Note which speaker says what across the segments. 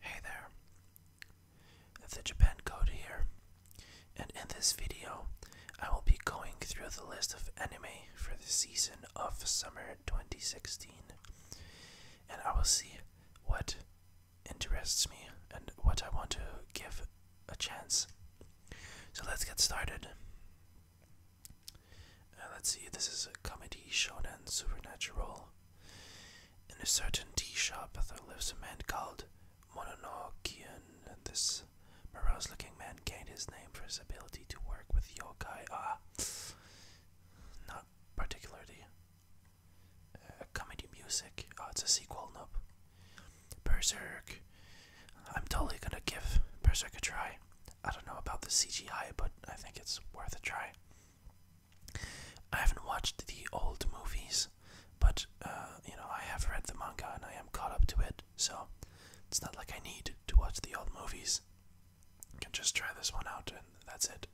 Speaker 1: Hey there, the Japan Code here, and in this video I will be going through the list of anime for the season of summer 2016, and I will see what interests me and what I want to give a chance. So let's get started. Uh, let's see, this is a comedy shonen supernatural in a certain tea shop, there lives a man called Mononokian, and this morose looking man gained his name for his ability to work with yokai. Ah, not particularly. Uh, comedy music. Oh, it's a sequel, nope. Berserk. I'm totally gonna give Berserk a try. I don't know about the CGI, but I think it's worth a try. I haven't watched the old movies, but uh, you know I have read the manga and I am caught up to it, so it's not like I need to watch the old movies. I can just try this one out and that's it.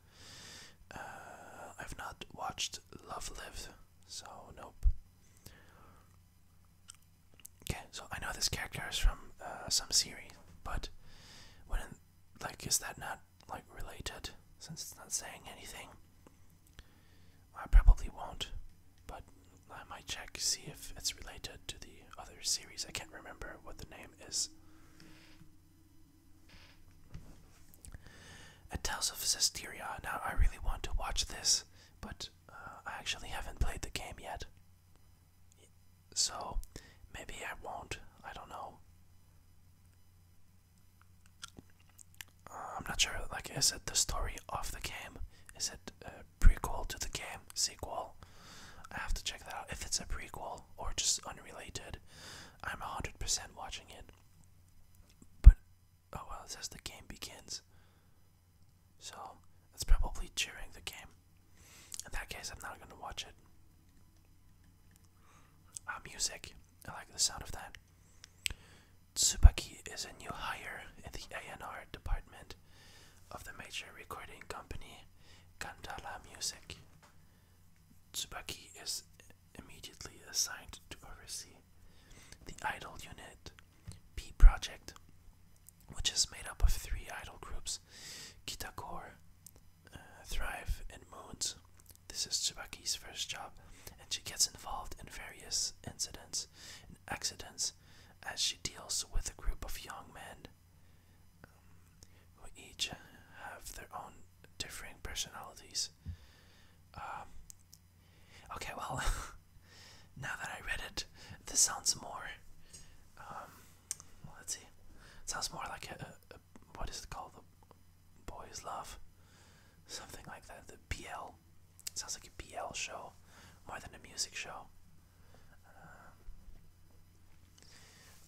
Speaker 1: Uh, I've not watched Love Live, so nope. Okay, so I know this character is from uh, some series, but when like, is that not like related? Since it's not saying anything, I probably won't. But I might check see if it's related to the other series. I can't remember what the name is. It tells of Cesteria. Now I really want to watch this, but uh, I actually haven't played the game yet. So maybe I won't. I don't know. Uh, I'm not sure. Like, is it the story of the game? Is it a prequel to the game? Sequel? I have to check that out. If it's a prequel or just unrelated, I'm 100% watching it. But, oh well, it says the game begins. So, it's probably during the game. In that case, I'm not gonna watch it. Ah, music. I like the sound of that. Tsubaki is a new hire in the ANR department of the major recording company Kandala Music. Tsubaki is immediately assigned to oversee the Idol Unit P Project which is made up of three idol groups Kitakor, uh, Thrive, and Moons. This is Tsubaki's first job, and she gets involved in various incidents and accidents as she deals with a group of young men um, who each have their own differing personalities. Um, okay, well, now that I read it, this sounds more um, Let's see. sounds more like a, what is it called? The Boys Love, something like that. The BL. sounds like a BL show more than a music show. Um,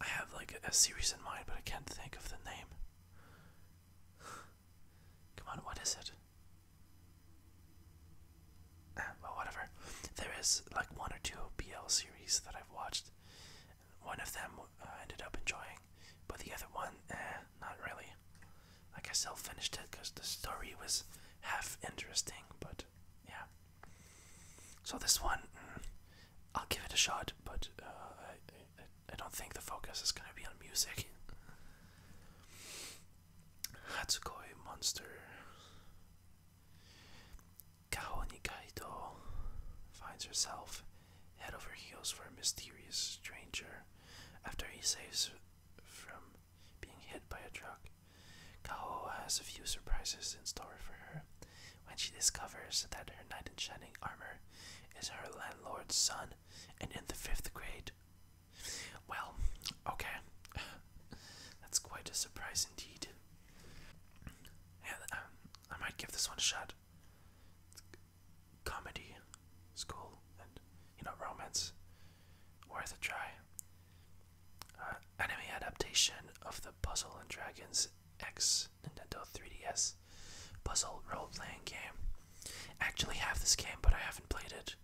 Speaker 1: I have like a series in mind, but I can't think of the name. Come on, what is it? well, whatever. There is like one or two BL series that I've watched. One of them uh, ended up enjoying, but the other one, eh, not really. I guess I'll finish it because the story was half interesting, but yeah. So this one, mm, I'll give it a shot, but uh, I, I, don't think the focus is going to be on music. Hatsukoi Monster. Kaho Nikaido finds herself head over heels for a mysterious stranger after he saves from being hit by a truck. Kaho has a few surprises in store for her when she discovers that her knight in shining armor is her landlord's son and in the fifth grade. Well, okay. That's quite a surprise indeed. Yeah, um, I might give this one a shot. comedy, school, and you know romance, worth a try. Uh, anime adaptation of the Puzzle and Dragons X Nintendo 3DS puzzle role-playing game. actually have this game, but I haven't played it.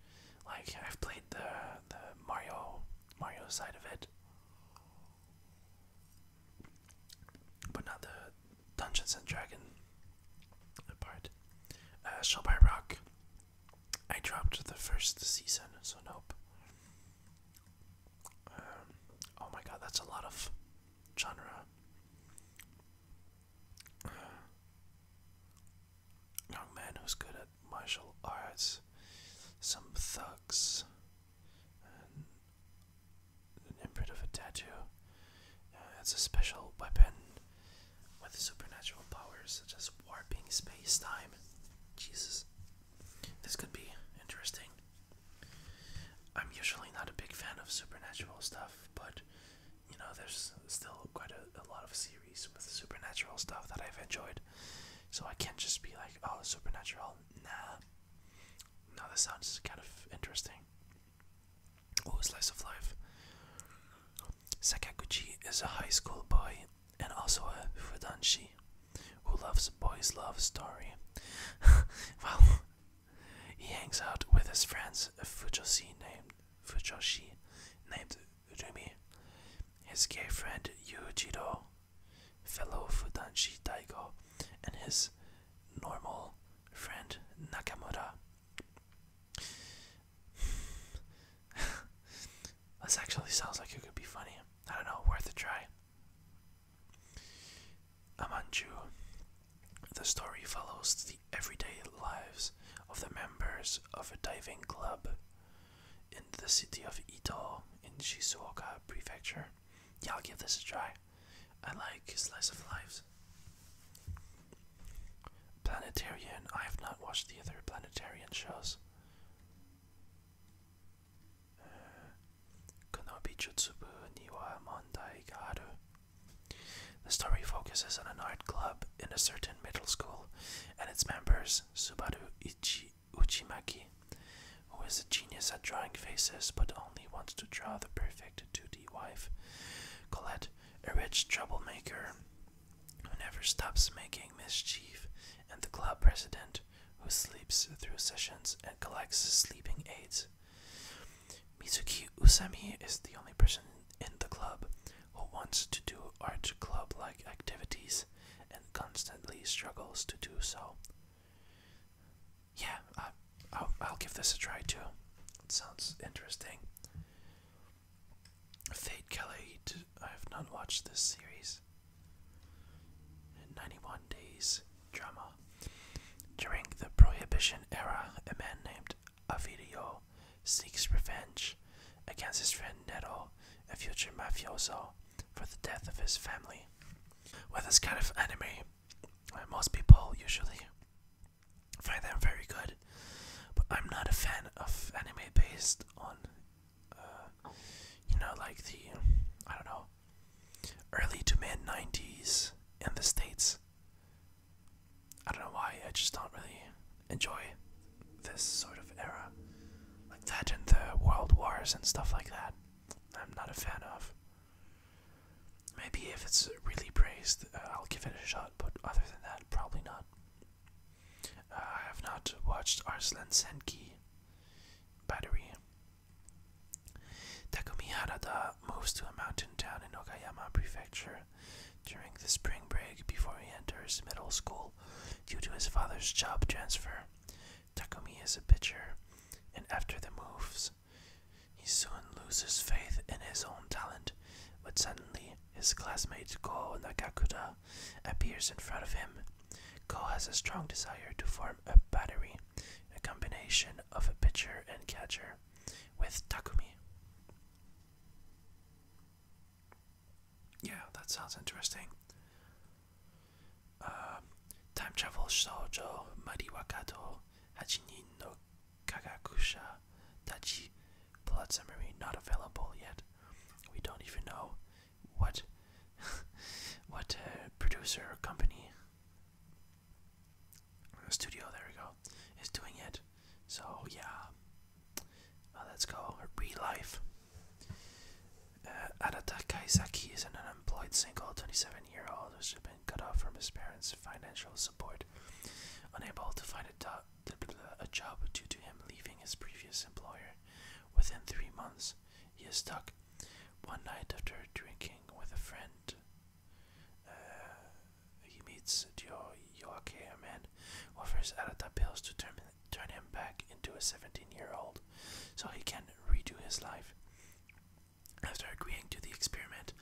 Speaker 1: Like I've played the the Mario Mario side of it, but not the Dungeons and Dragon part. Uh, Rock. I dropped the first season, so nope. Um, oh my god, that's a lot of genre. Uh, young man who's good at martial arts, some thugs, and an imprint of a tattoo. it's a special weapon with supernatural powers such as warping space time. Jesus, this could be interesting. I'm usually not a big fan of supernatural stuff, but you know, there's still quite a lot of series series with supernatural stuff that I've enjoyed. So I can't just be like, oh, supernatural, nah. now this sounds kind of interesting. Oh, slice of life. Sakaguchi is a high school boy and also a fudanshi who loves boys' love story. well, he hangs out with his friends Fujoshi named Fujoshi named Urumi, his gay friend Yuichiro, fellow Fudanshi taiko, and his normal friend Nakamura. this actually sounds like it could be funny. I don't know, worth a try. Amanju. The story follows the everyday lives of the members of a diving club in the city of Ito in Shizuoka Prefecture. Yeah, I'll give this a try. I like Slice of Lives. Planetarian. I have not watched the other Planetarian shows. Uh, Konobi Jutsubu Niwa Mondai Garu. The story focuses on an art club in a certain middle school and its members Subaru Ichi Uchimaki, who is a genius at drawing faces but only wants to draw the perfect 2D wife. Colette, a rich troublemaker who never stops making mischief, and the club president who sleeps through sessions and collects sleeping aids. Mizuki Usami is the only person in the club who wants to do art club like activities and constantly struggles to do so. Yeah, I, will give this a try too. It sounds interesting. Fate Kelly, I have not watched this series. 91 Days Drama. During the Prohibition era, a man named Avidio seeks revenge against his friend Neto, a future mafioso, for the death of his family. With this kind of anime, uh, most people usually find them very good, but I'm not a fan of anime based on, uh, you know, like the, I don't know, early to mid 90s in the States. I don't know why, I just don't really enjoy this sort of era. Like that and the World Wars and stuff like that. I'm not a fan of. Maybe if it's really praised, uh, I'll give it a shot, but other than that, probably not. Uh, I have not watched Arslan Senki Battery. Takumi Harada moves to a mountain town in Okayama Prefecture during the spring break before he enters middle school due to his father's job transfer. Takumi is a pitcher, and after the moves, he soon loses faith in his own talent, but suddenly his classmate Ko Nagakuta appears in front of him. Ko has a strong desire to form a battery, a combination of a pitcher and catcher, with Takumi. Yeah, that sounds interesting. Uh, time travel shoujo mariwakato hachinin no kagakusha dachi blood summary not available yet. We don't even know what what uh, producer or company studio there we go is doing it. So yeah, let's go. Re Life. Uh, Arata Kaisaki is an unemployed single 27 year old who's been cut off from his parents' financial support, unable to find a, job due to him leaving his previous employer. Within three months, he is stuck. One night after drinking with a friend, uh, he meets Joachim and offers Arata pills to turn, turn him back into a 17-year-old so he can redo his life. After agreeing to the experiment,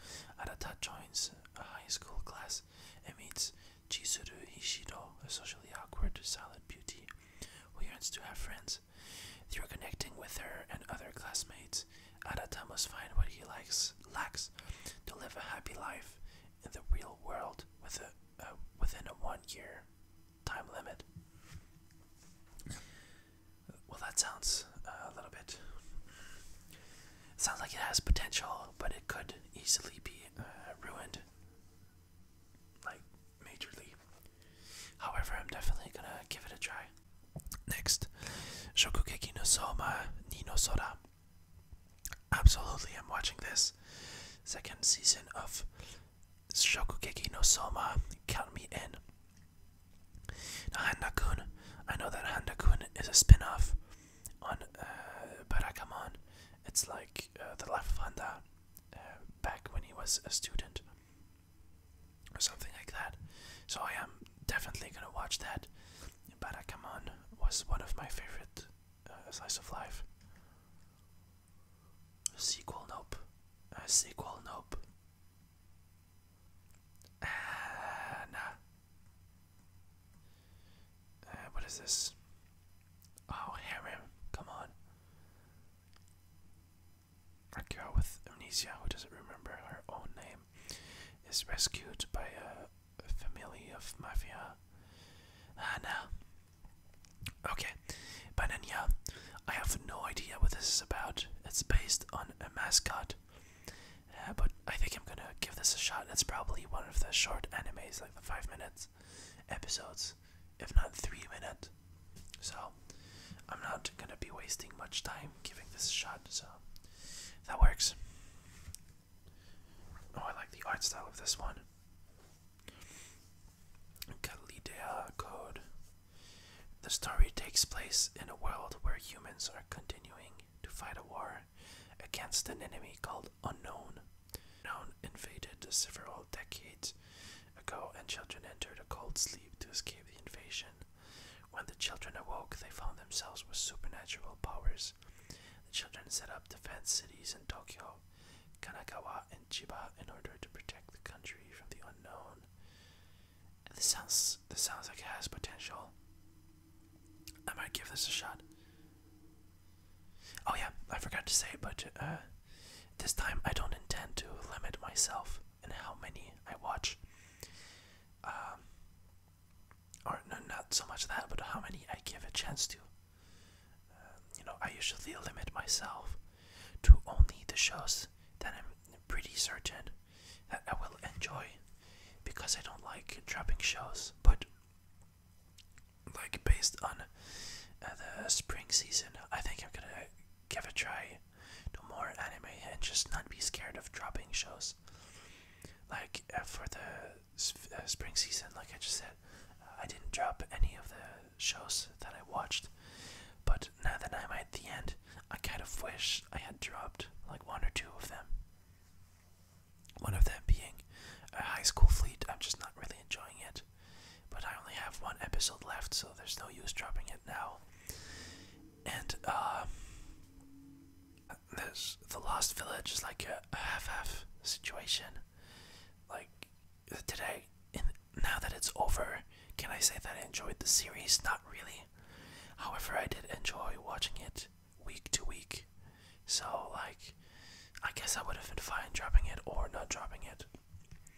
Speaker 1: Arata joins a high school class and meets Chizuru Hishido, a socially awkward, silent beauty who wants to have friends. Through connecting with her and other classmates, Arata must find what he likes, lacks to live a happy life in the real world with a, uh, within a one year time limit. Well, that sounds uh, a little bit. sounds like it has potential, but it could easily be uh, ruined. Like, majorly. However, I'm definitely gonna give it a try. Next, Shokugeki no Soma ni no Sora. Absolutely, I'm watching this second season of Shokugeki no Soma. Count me in. Handa-kun. I know that Handa-kun is a spin-off on uh, Barakamon. It's like uh, the life of Handa uh, back when he was a student or something like that. So I am definitely gonna watch that. Barakamon was one of my favorite uh, slice of life. A sequel, nope. A uh, sequel, nope. Ah, nah. Uh, what is this? Oh, Harem, come on. I go with Amnesia, who doesn't remember her own name is rescued by a, family of mafia. Hannah. Ah, okay, Banania. I have no idea what this is about. It's based on a mascot. Uh, but I think I'm gonna give this a shot. It's probably one of the short animes, like the five minutes episodes, if not three minutes. So I'm not gonna be wasting much time giving this a shot, so that works. Oh, I like the art style of this one. Kalidea Code. The story takes place in a world where humans are continuing to fight a war against an enemy called Unknown. Unknown invaded several decades ago, and children entered a cold sleep to escape the invasion. When the children awoke, they found themselves with supernatural powers. The children set up defense cities in Tokyo, Kanagawa, and Chiba in order to protect the country from the unknown. this sounds this sounds like it has potential. I might give this a shot. Oh yeah, I forgot to say, but uh, this time I don't intend to limit myself in how many I watch. Um, or not so much that, but how many I give a chance to. Um, you know, I usually limit myself to only the shows that I'm pretty certain that I will enjoy because I don't like dropping shows. But, like, based on uh, the spring season, I think I'm gonna give a try to more anime and just not be scared of dropping shows like uh, for the uh, spring season, like I just said, I didn't drop any of the shows that I watched. But now that I'm at the end, I kind of wish I had dropped like one or two of them. One of them being high school fleet. I'm just not really enjoying it. But I only have one episode left, so there's no use dropping it now. And, um,. This the Lost Village is like a, half-half situation. Like today, in, now that it's over, can I say that I enjoyed the series? Not really. However, I did enjoy watching it week to week. So like, I guess I would have been fine dropping it or not dropping it.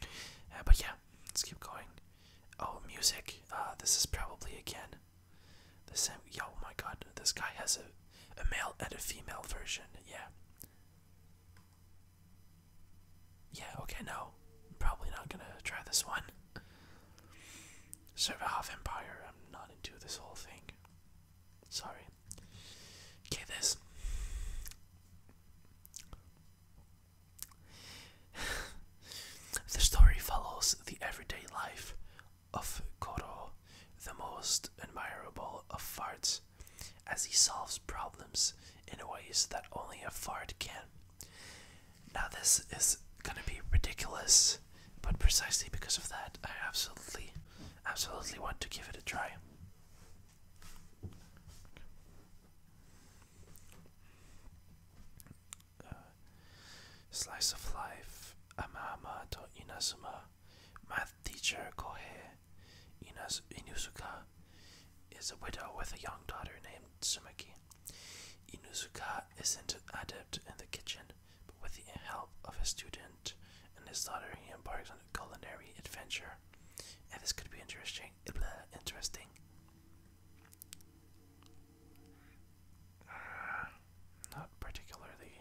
Speaker 1: Uh, but yeah, let's keep going. Oh, music. Uh, this is probably again the same. oh my God, this guy has a, a male and a female version. Yeah. Yeah. Okay. No, probably not gonna try this one. Server half empire. I'm not into this whole thing. Sorry. Okay. This the story follows the everyday life of Koro, the most admirable of farts, as he solves problems in ways that only a fart can. Now, this is gonna be ridiculous, but precisely because of that, I absolutely, absolutely want to give it a try. Uh, slice of Life, Amama to Inazuma, Math Teacher Kohei Inaz Inuzuka is a widow with a young daughter named Tsumaki. Inuzuka isn't adept in the kitchen, but with the help of his student and his daughter, he embarks on a culinary adventure. And this could be interesting. Interesting. Uh, not particularly.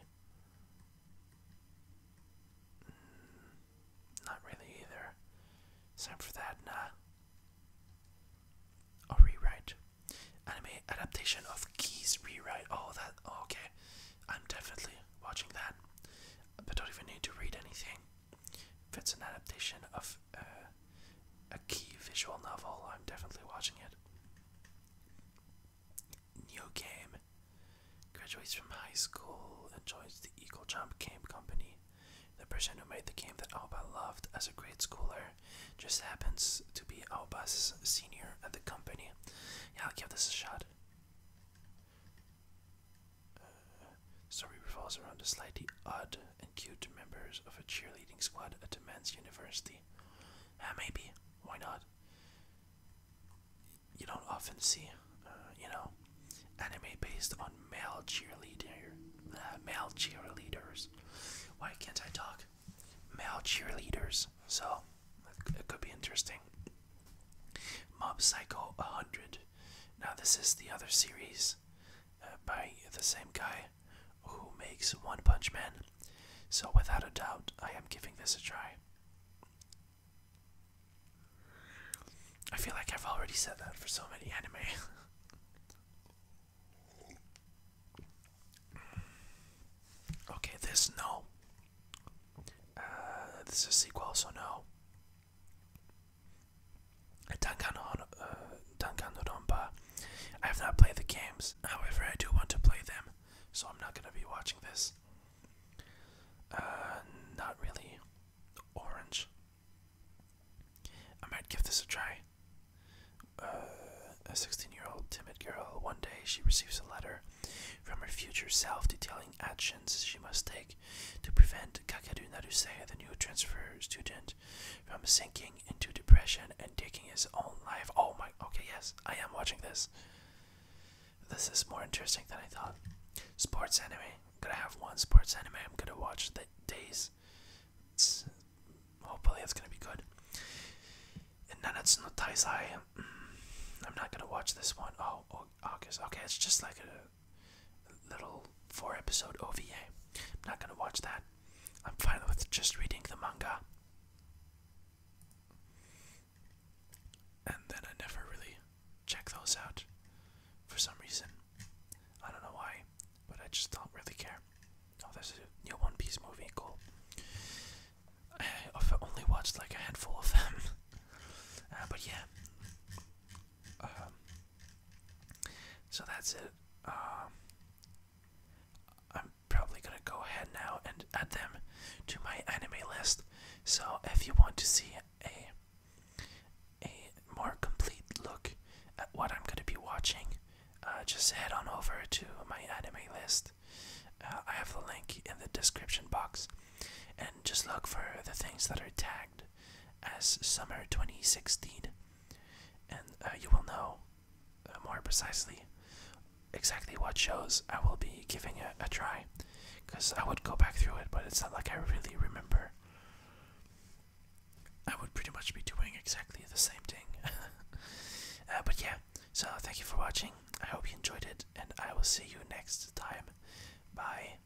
Speaker 1: Mm, not really either. Time for that, nah. Oh, rewrite. Anime adaptation of Keys rewrite. Oh, that. Oh, okay. I'm definitely watching that. But don't even need to read anything. If it's an adaptation of uh, a key visual novel. I'm definitely watching it. New game. Graduates from high school and joins the Eagle Jump Camp Company. The person who made the game that Alba loved as a grade schooler just happens to be Alba's senior at the company. Yeah, I'll give this a shot. Uh, story revolves around a slightly odd and cute members of a cheerleading squad at a men's university. Uh, maybe. Why not? You don't often see, uh, you know, anime based on male cheerleader, uh, male cheerleaders. Why can't I talk? Male cheerleaders. So it could be interesting. Mob Psycho 100. Now this is the other series by the same guy who makes One Punch Man. So, without a doubt, I am giving this a try. I feel like I've already said that for so many anime. okay, this no. Uh, this is sequel, so no. Danganronpa. Uh, I have not played the games, however, I do want to play them, so I'm not going to be watching this. Uh, not really. Orange. I might give this a try. Uh, a 16 year old timid girl, one day she receives a letter from her future self detailing actions she must take to prevent Kakeru Naruse, the new transfer student Egypt from sinking into depression and taking his own life. Oh my, okay, yes, I am watching this. This is more interesting than I thought. Sports anime. I'm gonna have one sports anime I'm gonna watch the days. hopefully, it's gonna be good. And Nanatsu no Taizai. Mm, I'm not gonna watch this one. Oh, oh August. Okay, it's just like a little four episode OVA. I'm not gonna watch that. I'm fine with just reading the manga. And then I never really check those out for some reason. I don't know why, but I just don't really care. Oh, there's a new One Piece movie. Cool. I've only watched like a handful of them. Uh, but yeah. Um, so that's it. Um, I'm probably gonna go ahead now and add them to my anime list. So if you want to see a a more complete look at what I'm gonna be watching, uh, just head on over to my anime list. Uh, I have the link in the description box, and just look for the things that are tagged as summer 2016, and uh, you will know uh, more precisely exactly what shows I will be giving a, try because I would go back through it, but it's not like I really remember. I would pretty much be doing exactly the same thing. Uh, but yeah, so thank you for watching. I hope you enjoyed it, and I will see you next time. Bye.